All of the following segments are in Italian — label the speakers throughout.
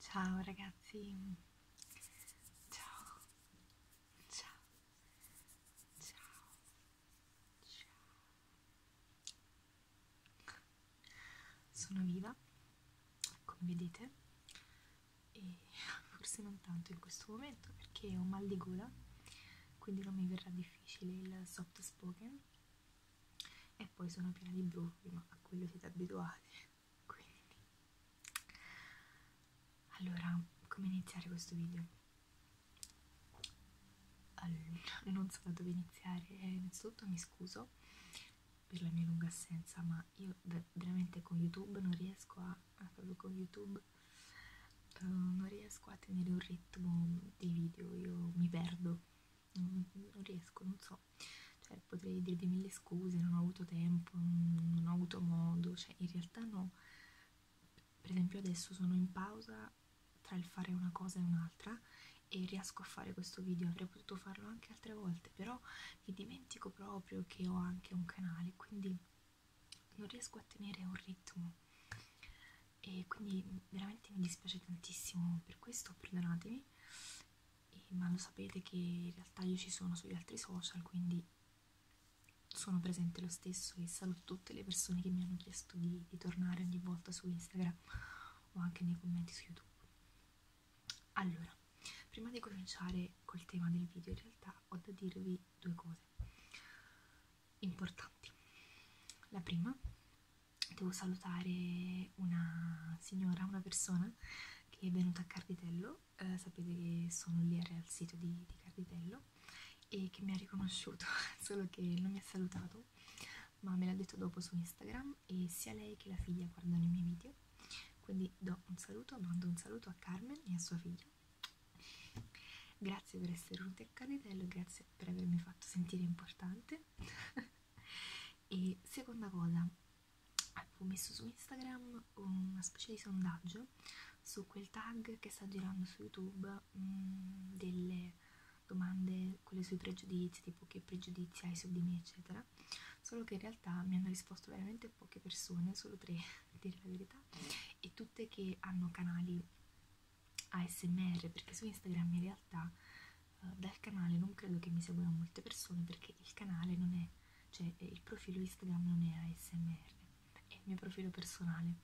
Speaker 1: Ciao ragazzi, ciao, ciao, ciao, ciao. Sono viva, come vedete, e forse non tanto in questo momento perché ho mal di gola, quindi non mi verrà difficile il soft spoken e poi sono piena di brufoli, ma a quello siete abituati. Quindi, allora, come iniziare questo video? Allora, non so da dove iniziare. Innanzitutto mi scuso per la mia lunga assenza, ma io veramente con YouTube non riesco a, eh, proprio con YouTube, eh, non riesco a tenere un ritmo dei video, io mi perdo non, non riesco, non so, cioè, potrei dirvi mille scuse, non ho avuto tempo, non ho avuto modo, cioè in realtà no, per esempio adesso sono in pausa tra il fare una cosa e un'altra e riesco a fare questo video, avrei potuto farlo anche altre volte, però mi dimentico proprio che ho anche un canale, quindi non riesco a tenere un ritmo e quindi veramente mi dispiace tantissimo per questo, perdonatemi, e, ma lo sapete che in realtà io ci sono sugli altri social, quindi sono presente lo stesso e saluto tutte le persone che mi hanno chiesto di, di tornare ogni volta su Instagram o anche nei commenti su YouTube. Allora, prima di cominciare col tema del video, in realtà ho da dirvi due cose importanti. La prima devo salutare una signora, una persona che è venuta a Carditello, eh, sapete che sono lì al sito di, di Carditello e che mi ha riconosciuto, solo che non mi ha salutato, ma me l'ha detto dopo su Instagram e sia lei che la figlia guardano i miei video, quindi do un saluto, mando un saluto a Carmen e a sua figlia. Grazie per essere venuti a Carditello, grazie per avermi fatto sentire importante e seconda cosa avevo messo su Instagram una specie di sondaggio su quel tag che sta girando su YouTube mh, mm, delle domande quelle sui pregiudizi tipo che pregiudizi hai su di me eccetera solo che in realtà mi hanno risposto veramente poche persone solo tre a dire la verità e tutte che hanno canali ASMR perché su Instagram in realtà uh, dal canale non credo che mi seguano molte persone perché il canale non è, cioè eh, il profilo Instagram non è ASMR, è il mio profilo personale,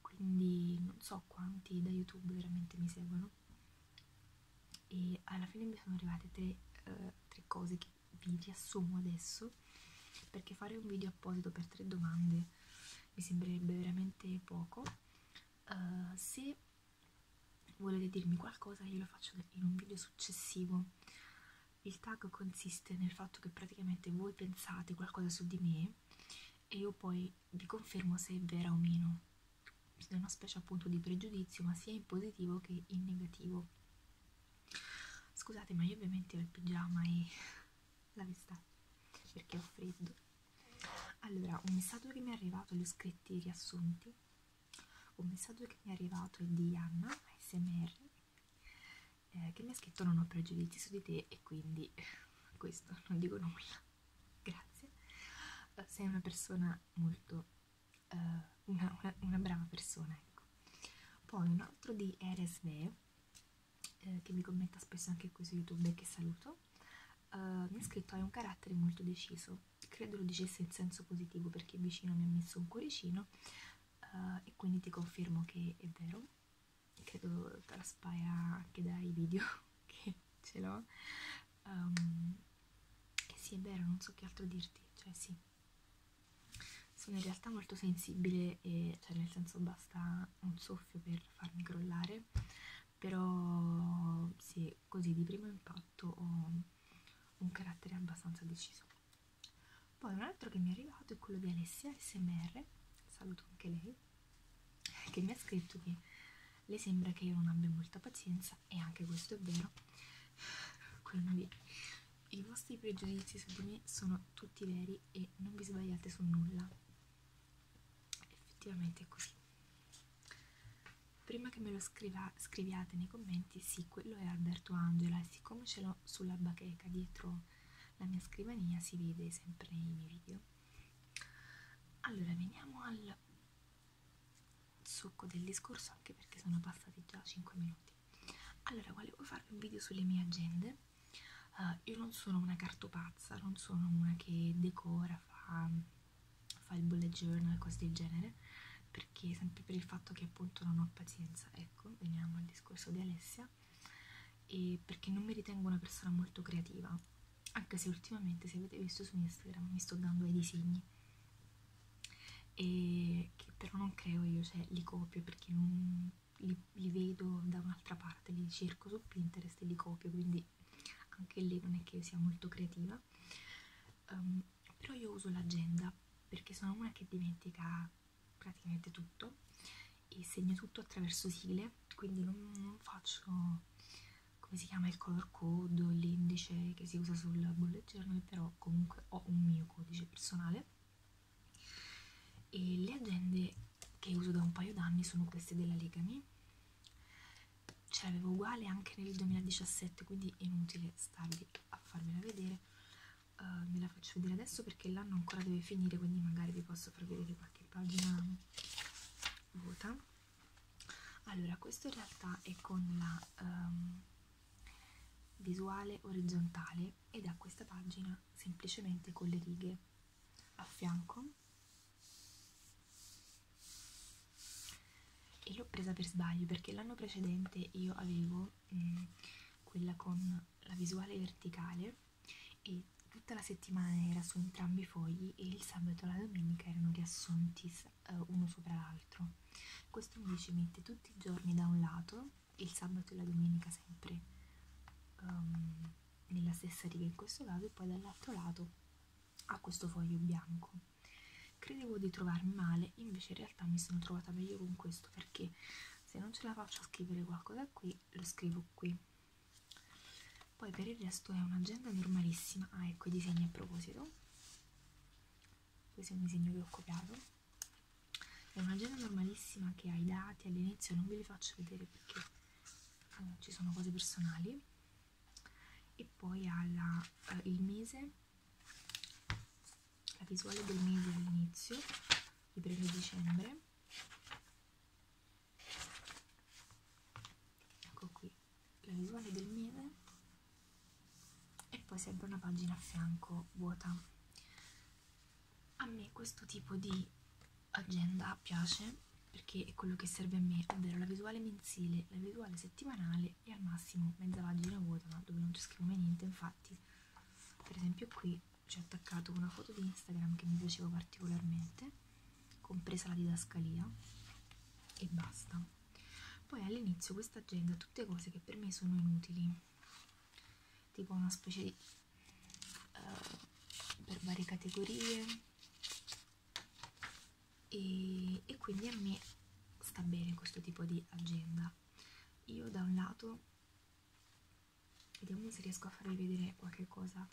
Speaker 1: quindi non so quanti da YouTube veramente mi seguono e alla fine mi sono arrivate tre, uh, tre cose che vi riassumo adesso perché fare un video apposito per tre domande mi sembrerebbe veramente poco. Uh, se volete dirmi qualcosa io lo faccio in un video successivo il tag consiste nel fatto che praticamente voi pensate qualcosa su di me e io poi vi confermo se è vera o meno è una specie appunto di pregiudizio ma sia in positivo che in negativo scusate ma io ovviamente ho il pigiama e la vestaglia perché ho freddo allora, un messaggio che mi è arrivato, li ho scritti riassunti. Un messaggio che mi è arrivato è di Anna, SMR, eh, che mi ha scritto non ho pregiudizi su di te e quindi questo, non dico nulla. Grazie. Eh, sei una persona molto... Eh, una, una, una brava persona, ecco. Poi un altro di Eresve, eh, che mi commenta spesso anche qui su YouTube e che saluto, uh, mi ha scritto hai un carattere molto deciso credo lo dicesse in senso positivo perché vicino mi ha messo un cuoricino uh, e quindi ti confermo che è vero credo traspaia anche dai video che ce l'ho um, ehm, e sì è vero non so che altro dirti cioè sì sono in realtà molto sensibile e cioè nel senso basta un soffio per farmi crollare però sì, così di primo impatto ho un carattere abbastanza deciso. Poi un altro che mi è arrivato è quello di Alessia SMR, saluto anche lei, che mi ha scritto che le sembra che io non abbia molta pazienza e anche questo è vero, quello di i vostri pregiudizi su di me sono tutti veri e non vi sbagliate su nulla effettivamente è così prima che me lo scriva, scriviate nei commenti sì quello è Alberto Angela e siccome ce l'ho sulla bacheca dietro la mia scrivania si vede sempre nei miei video allora veniamo al succo del discorso anche perché sono passati già 5 minuti allora volevo farvi un video sulle mie agende uh, io non sono una cartopazza non sono una che decora fa fa il bullet journal e cose del genere perché sempre per il fatto che appunto non ho pazienza ecco veniamo al discorso di Alessia e perché non mi ritengo una persona molto creativa anche se ultimamente se avete visto su Instagram mi sto dando ai disegni e che però non creo io cioè li copio perché non li, li vedo da un'altra parte li cerco su Pinterest e li copio quindi anche lì non è che io sia molto creativa um, però io uso l'agenda perché sono una che dimentica praticamente tutto e segno tutto attraverso sigle quindi non, non faccio come si chiama il color code o l'indice che si usa sul bullet journal però comunque ho un mio codice personale e le agende che uso da un paio d'anni sono queste della Legami ce l'avevo uguale anche nel 2017 quindi è inutile starvi a farmela vedere uh, eh, me la faccio vedere adesso perché l'anno ancora deve finire quindi magari vi posso far vedere qualche pagina vuota allora questo in realtà è con la um, visuale orizzontale ed ha questa pagina semplicemente con le righe a fianco e l'ho presa per sbaglio perché l'anno precedente io avevo mh, mm, quella con la visuale verticale e tutta la settimana era su entrambi i fogli e il sabato e la domenica erano riassunti uh, uno sopra l'altro questo invece mette tutti i giorni da un lato e il sabato e la domenica sempre um, nella stessa riga in questo caso e poi dall'altro lato a questo foglio bianco. Credevo di trovarmi male, invece in realtà mi sono trovata meglio con questo perché se non ce la faccio a scrivere qualcosa qui, lo scrivo qui. Poi per il resto è un'agenda normalissima. Ah, ecco i disegni a proposito. Questo è un disegno che ho copiato. È un'agenda normalissima che ha i dati all'inizio, non ve li faccio vedere perché allora, ah, ci sono cose personali e poi ha eh, il mese la visuale del mese all'inizio di breve dicembre ecco qui la visuale del mese e poi sempre una pagina a fianco vuota a me questo tipo di agenda piace perché è quello che serve a me, ovvero la visuale mensile, la visuale settimanale e al massimo mezza pagina vuota dove non ci scrivo mai niente. Infatti, per esempio, qui ci ho attaccato una foto di Instagram che mi piaceva particolarmente, compresa la didascalia, e basta. Poi all'inizio questa agenda ha tutte cose che per me sono inutili, tipo una specie di. Uh, per varie categorie e, e quindi a me sta bene questo tipo di agenda io da un lato vediamo se riesco a farvi vedere qualche cosa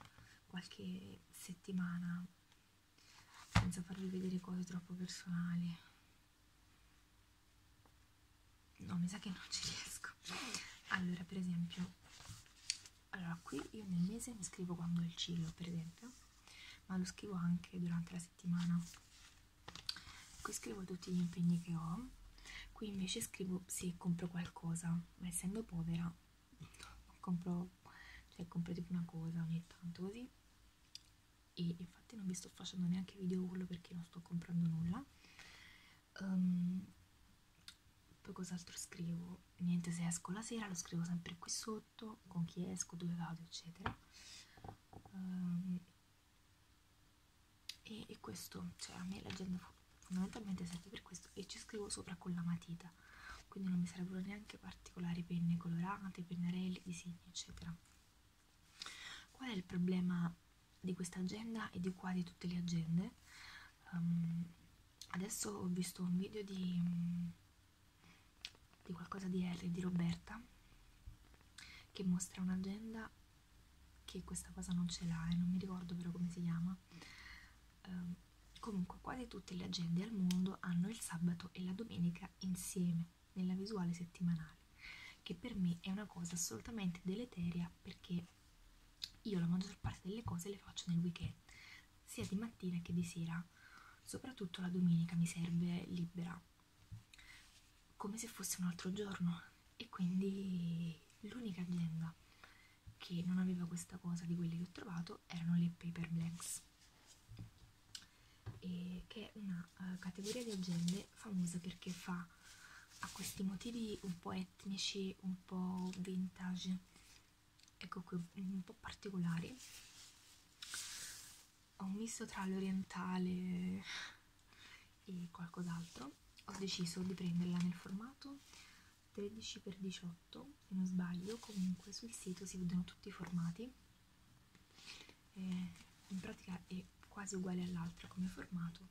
Speaker 1: qualche settimana senza farvi vedere cose troppo personali no mi sa che non ci riesco allora per esempio allora qui io nel mese mi scrivo quando è il cillo per esempio ma lo scrivo anche durante la settimana qui scrivo tutti gli impegni che ho qui invece scrivo se compro qualcosa ma essendo povera compro cioè compro tipo una cosa ogni tanto così e infatti non vi sto facendo neanche video urlo perché non sto comprando nulla um, poi cos'altro scrivo niente se esco la sera lo scrivo sempre qui sotto con chi esco dove vado eccetera um, e, e questo cioè a me l'agenda fondamentalmente serve per questo e ci scrivo sopra con la matita quindi non mi servono neanche particolari penne colorate pennarelli disegni eccetera qual è il problema di questa agenda e di qua di tutte le agende um, adesso ho visto un video di, mm, di qualcosa di Harry, di Roberta che mostra un'agenda che questa cosa non ce l'ha e non mi ricordo però come si chiama um, comunque quasi tutte le agende al mondo hanno il sabato e la domenica insieme nella visuale settimanale che per me è una cosa assolutamente deleteria perché io la maggior parte delle cose le faccio nel weekend sia di mattina che di sera, soprattutto la domenica mi serve libera, come se fosse un altro giorno e quindi l'unica agenda che non aveva questa cosa di quelle che ho trovato erano le paper blanks e che è una uh, categoria di agende famosa perché fa a questi motivi un po' etnici, un po' vintage ecco qui un po' particolari ho un misto tra l'orientale e qualcos'altro ho deciso di prenderla nel formato 13x18 se non sbaglio comunque sul sito si vedono tutti i formati e in pratica è quasi uguale all'altra come formato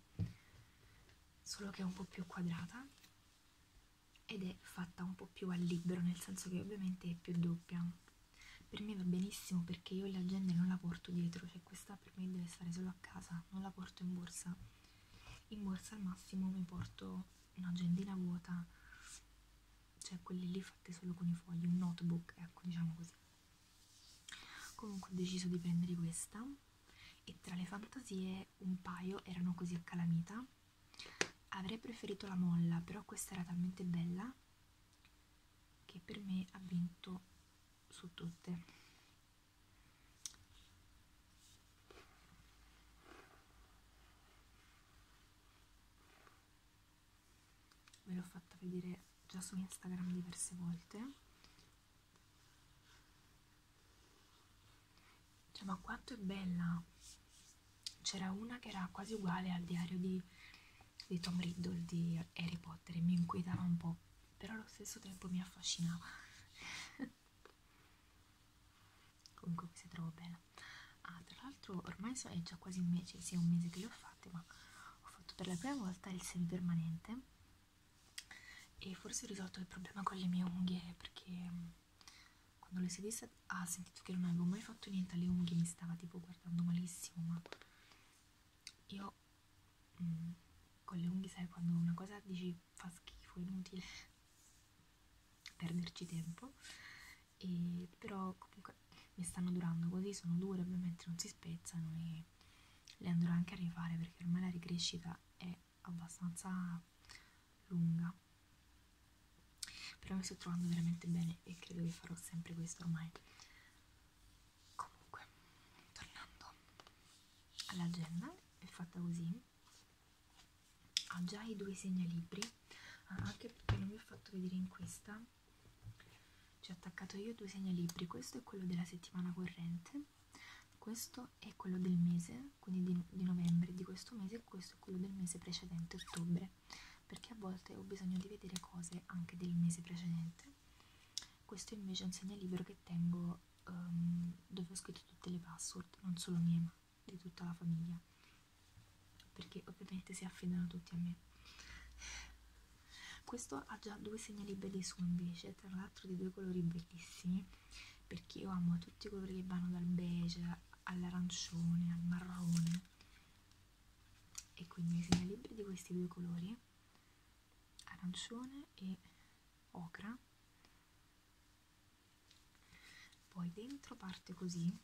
Speaker 1: solo che è un po' più quadrata ed è fatta un po' più al libero, nel senso che ovviamente è più doppia. Per me va benissimo perché io l'agenda non la porto dietro, cioè questa per me deve stare solo a casa, non la porto in borsa. In borsa al massimo mi porto un'agendina vuota, cioè quelle lì fatte solo con i fogli, un notebook, ecco diciamo così. Comunque ho deciso di prendere questa e tra le fantasie un paio erano così a calamita Avrei preferito la molla, però questa era talmente bella che per me ha vinto su tutte. Ve l'ho fatta vedere già su Instagram diverse volte cioè, ma quanto è bella! C'era una che era quasi uguale al diario di, di Tom Riddle di Harry Potter e mi inquietava un po', però allo stesso tempo mi affascinava. Comunque questa trovo bella. Ah, tra l'altro ormai so, è già quasi un mese, sì è un mese che le ho fatte, ma ho fatto per la prima volta il semipermanente e forse ho risolto il problema con le mie unghie perché quando le si disse ha ah, sentito che non avevo mai fatto niente alle unghie, mi stava tipo guardando malissimo, ma io mh, mm, con le unghie sai quando una cosa dici fa schifo, inutile perderci tempo, e, però comunque mi stanno durando così, sono dure, ovviamente non si spezzano e le andrò anche a rifare perché ormai la ricrescita è abbastanza lunga però mi sto trovando veramente bene e credo che farò sempre questo ormai comunque tornando all'agenda è fatta così ha già i due segnalibri ah, anche perché non vi ho fatto vedere in questa ci ho attaccato io due segnalibri questo è quello della settimana corrente questo questo è quello del mese, quindi di, di novembre di questo mese, e questo è quello del mese precedente, ottobre, perché a volte ho bisogno di vedere cose anche del mese precedente. Questo invece è un segnalibro che tengo um, dove ho scritto tutte le password, non solo mie, ma di tutta la famiglia, perché ovviamente si affidano tutti a me. Questo ha già due segnalibelli su invece, tra l'altro di due colori bellissimi perché io amo tutti i colori che vanno dal beige all'arancione al marrone e quindi se ne libri di questi due colori arancione e ocra poi dentro parte così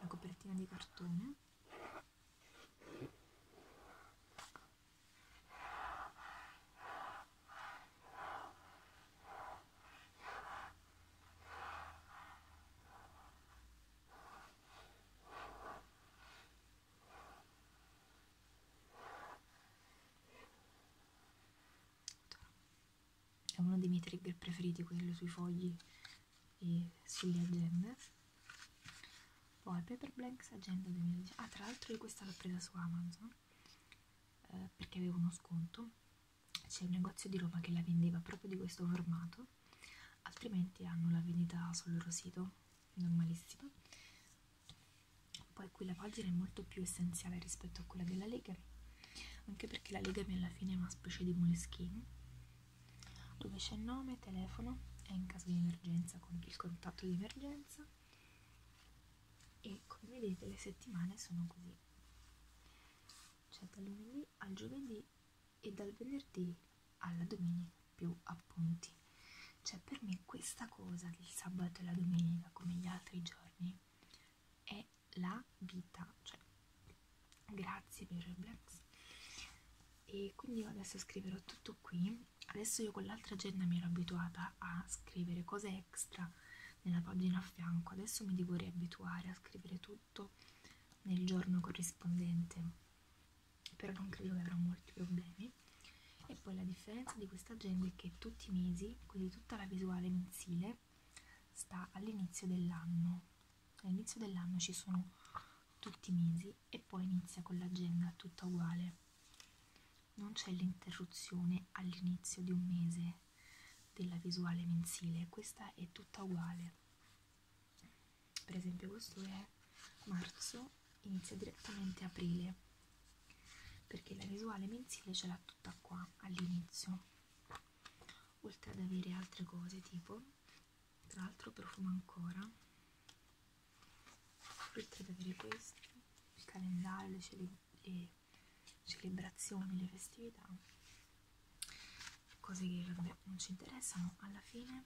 Speaker 1: una copertina di cartone è uno dei miei trigger preferiti, quello sui fogli e sulle agende. Poi Paper Blanks Agenda 2019. Ah, tra l'altro io questa l'ho presa su Amazon eh, perché avevo uno sconto c'è un negozio di Roma che la vendeva proprio di questo formato altrimenti hanno la vendita sul loro sito normalissima poi qui la pagina è molto più essenziale rispetto a quella della Legami anche perché la Legami alla fine è una specie di moleskine dove c'è nome, telefono e in caso di emergenza con il contatto di emergenza e come vedete le settimane sono così cioè dal lunedì al giovedì e dal venerdì alla domenica più appunti cioè per me questa cosa del sabato e la domenica come gli altri giorni è la vita cioè grazie per il Black e quindi io adesso scriverò tutto qui adesso io con l'altra agenda mi ero abituata a scrivere cose extra nella pagina a fianco adesso mi devo riabituare a scrivere tutto nel giorno corrispondente però non credo che avrò molti problemi e poi la differenza di questa agenda è che tutti i mesi quindi tutta la visuale mensile sta all'inizio dell'anno all'inizio dell'anno ci sono tutti i mesi e poi inizia con l'agenda tutta uguale non c'è l'interruzione all'inizio di un mese della visuale mensile, questa è tutta uguale. Per esempio questo è marzo, inizia direttamente aprile, perché la visuale mensile ce l'ha tutta qua all'inizio, oltre ad avere altre cose tipo, tra l'altro profuma ancora, oltre ad avere questo, il calendario, le, le celebrazioni, le festività, cose che vabbè, non ci interessano, alla fine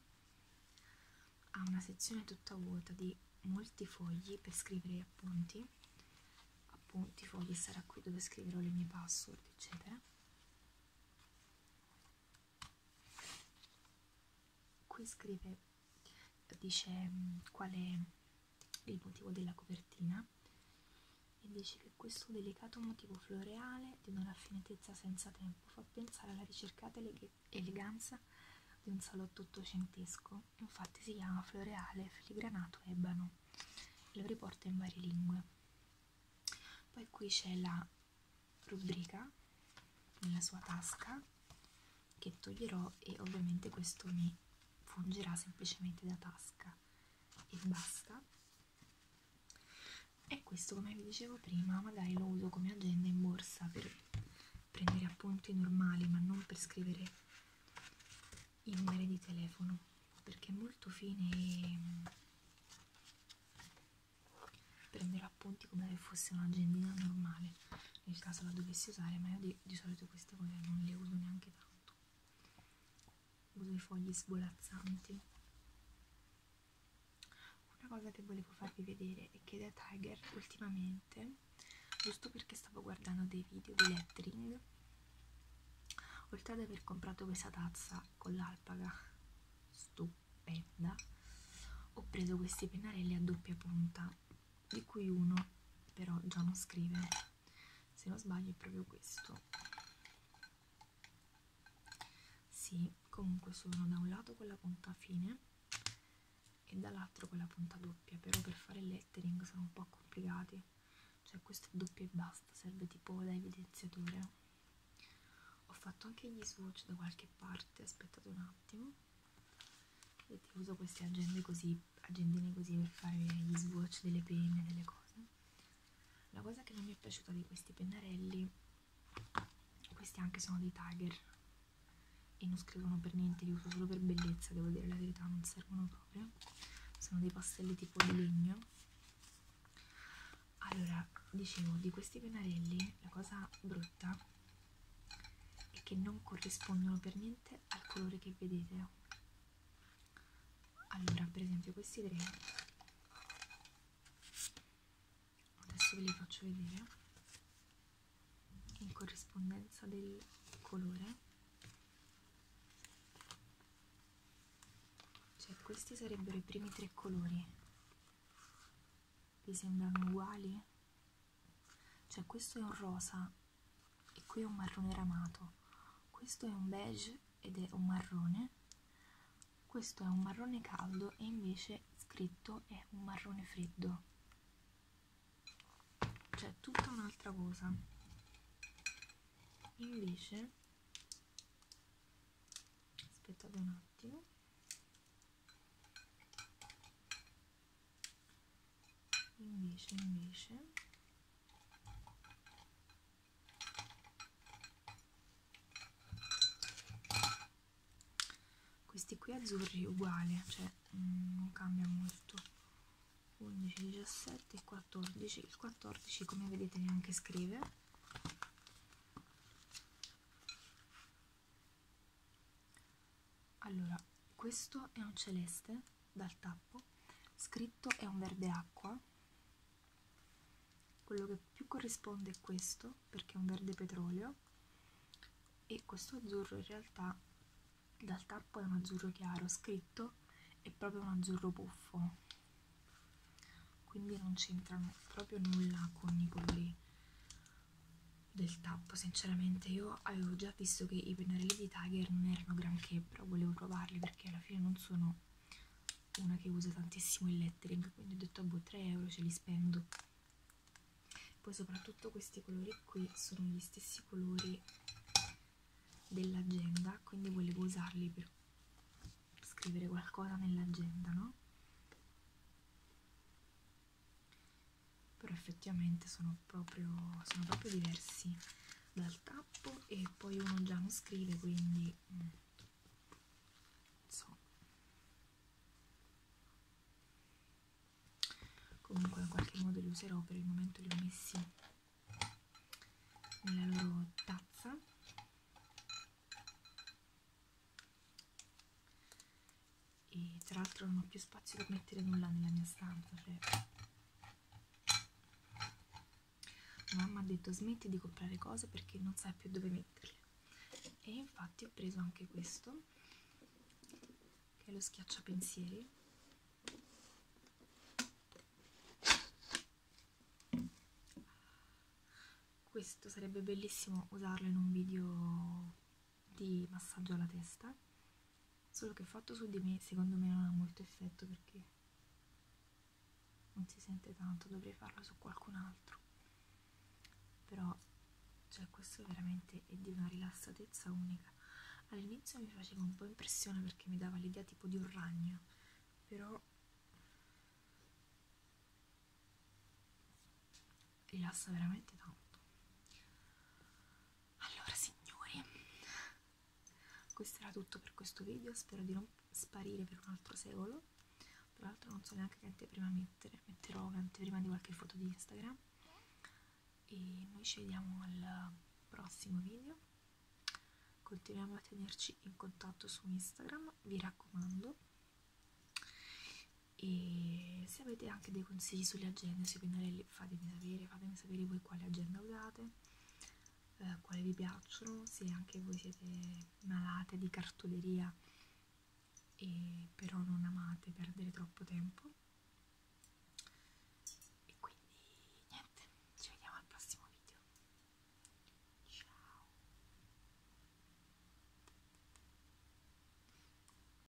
Speaker 1: ha una sezione tutta vuota di molti fogli per scrivere appunti, appunti, fogli, sarà qui dove scriverò le mie password, eccetera. Qui scrive dice mm, qual è il motivo della copertina e dice che questo delicato motivo floreale di una raffinatezza senza tempo fa pensare alla ricercata eleganza di un salotto ottocentesco, infatti si chiama floreale filigranato ebano e lo riporta in varie lingue. Poi qui c'è la rubrica nella sua tasca che toglierò e ovviamente questo mi fungerà semplicemente da tasca e basta e questo come vi dicevo prima magari lo uso come agenda in borsa per prendere appunti normali ma non per scrivere i numeri di telefono perché è molto fine e mm, prendere appunti come se fosse un'agendina normale nel caso la dovessi usare, ma io di, di solito queste cose non le uso neanche tanto. Uso i fogli svolazzanti. Una cosa che volevo farvi vedere è che da Tiger ultimamente, giusto perché stavo guardando dei video di lettering, oltre ad aver comprato questa tazza con l'alpaga stupenda, ho preso questi pennarelli a doppia punta di cui uno però già non scrive se non sbaglio è proprio questo sì comunque sono da un lato con la punta fine e dall'altro con la punta doppia però per fare il lettering sono un po' complicati cioè questo è doppio e basta serve tipo da evidenziatore ho fatto anche gli swatch da qualche parte aspettate un attimo e ti uso queste agende così, agendine così per fare gli swatch delle penne, delle cose. La cosa che non mi è piaciuta di questi pennarelli, questi anche sono dei Tiger e non scrivono per niente, li uso solo per bellezza, devo dire la verità, non servono proprio. Sono dei pastelli tipo di legno. Allora, dicevo, di questi pennarelli la cosa brutta e che non corrispondono per niente al colore che vedete allora per esempio questi tre adesso ve li faccio vedere in corrispondenza del colore cioè questi sarebbero i primi tre colori vi sembrano uguali? cioè questo è un rosa e qui è un marrone ramato questo è un beige ed è un marrone questo è un marrone caldo e invece scritto è un marrone freddo cioè tutta un'altra cosa invece aspettate un attimo invece invece questi qui azzurri uguali cioè mm, non cambia molto 11 17 14 il 14 come vedete neanche scrive allora, questo è un celeste dal tappo, scritto è un verde acqua, quello che più corrisponde è questo perché è un verde petroleo e questo azzurro in realtà dal tappo è un azzurro chiaro, scritto è proprio un azzurro buffo, quindi non c'entrano proprio nulla con i colori del tappo sinceramente io avevo già visto che i pennarelli di Tiger non erano granché però volevo provarli perché alla fine non sono una che usa tantissimo il lettering quindi ho detto a boh 3 euro ce li spendo poi soprattutto questi colori qui sono gli stessi colori dell'agenda quindi volevo usarli per scrivere qualcosa nell'agenda no però effettivamente sono proprio, sono proprio diversi dal tappo e poi uno già non scrive quindi mm, so comunque in qualche modo li userò per il momento li ho messi nella loro tazza e tra l'altro non ho più spazio per mettere nulla nella mia stanza cioè mamma ha detto smetti di comprare cose perché non sai più dove metterle e infatti ho preso anche questo che è lo schiacciapensieri questo sarebbe bellissimo usarlo in un video di massaggio alla testa solo che fatto su di me secondo me non ha molto effetto perché non si sente tanto dovrei farlo su qualcun altro però cioè questo veramente è di una rilassatezza unica all'inizio mi faceva un po' impressione perché mi dava l'idea tipo di un ragno però rilassa veramente tanto allora signori questo era tutto per questo video spero di non sparire per un altro secolo tra l'altro non so neanche che anteprima mettere metterò un'anteprima di qualche foto di Instagram e noi ci vediamo al prossimo video continuiamo a tenerci in contatto su Instagram vi raccomando e se avete anche dei consigli sulle agende sui pennarelli fatemi sapere, fatemi sapere voi quale agenda usate, eh, quali vi piacciono, se anche voi siete malate di cartoleria e però non amate perdere troppo tempo. E quindi niente, ci vediamo al prossimo video. Ciao!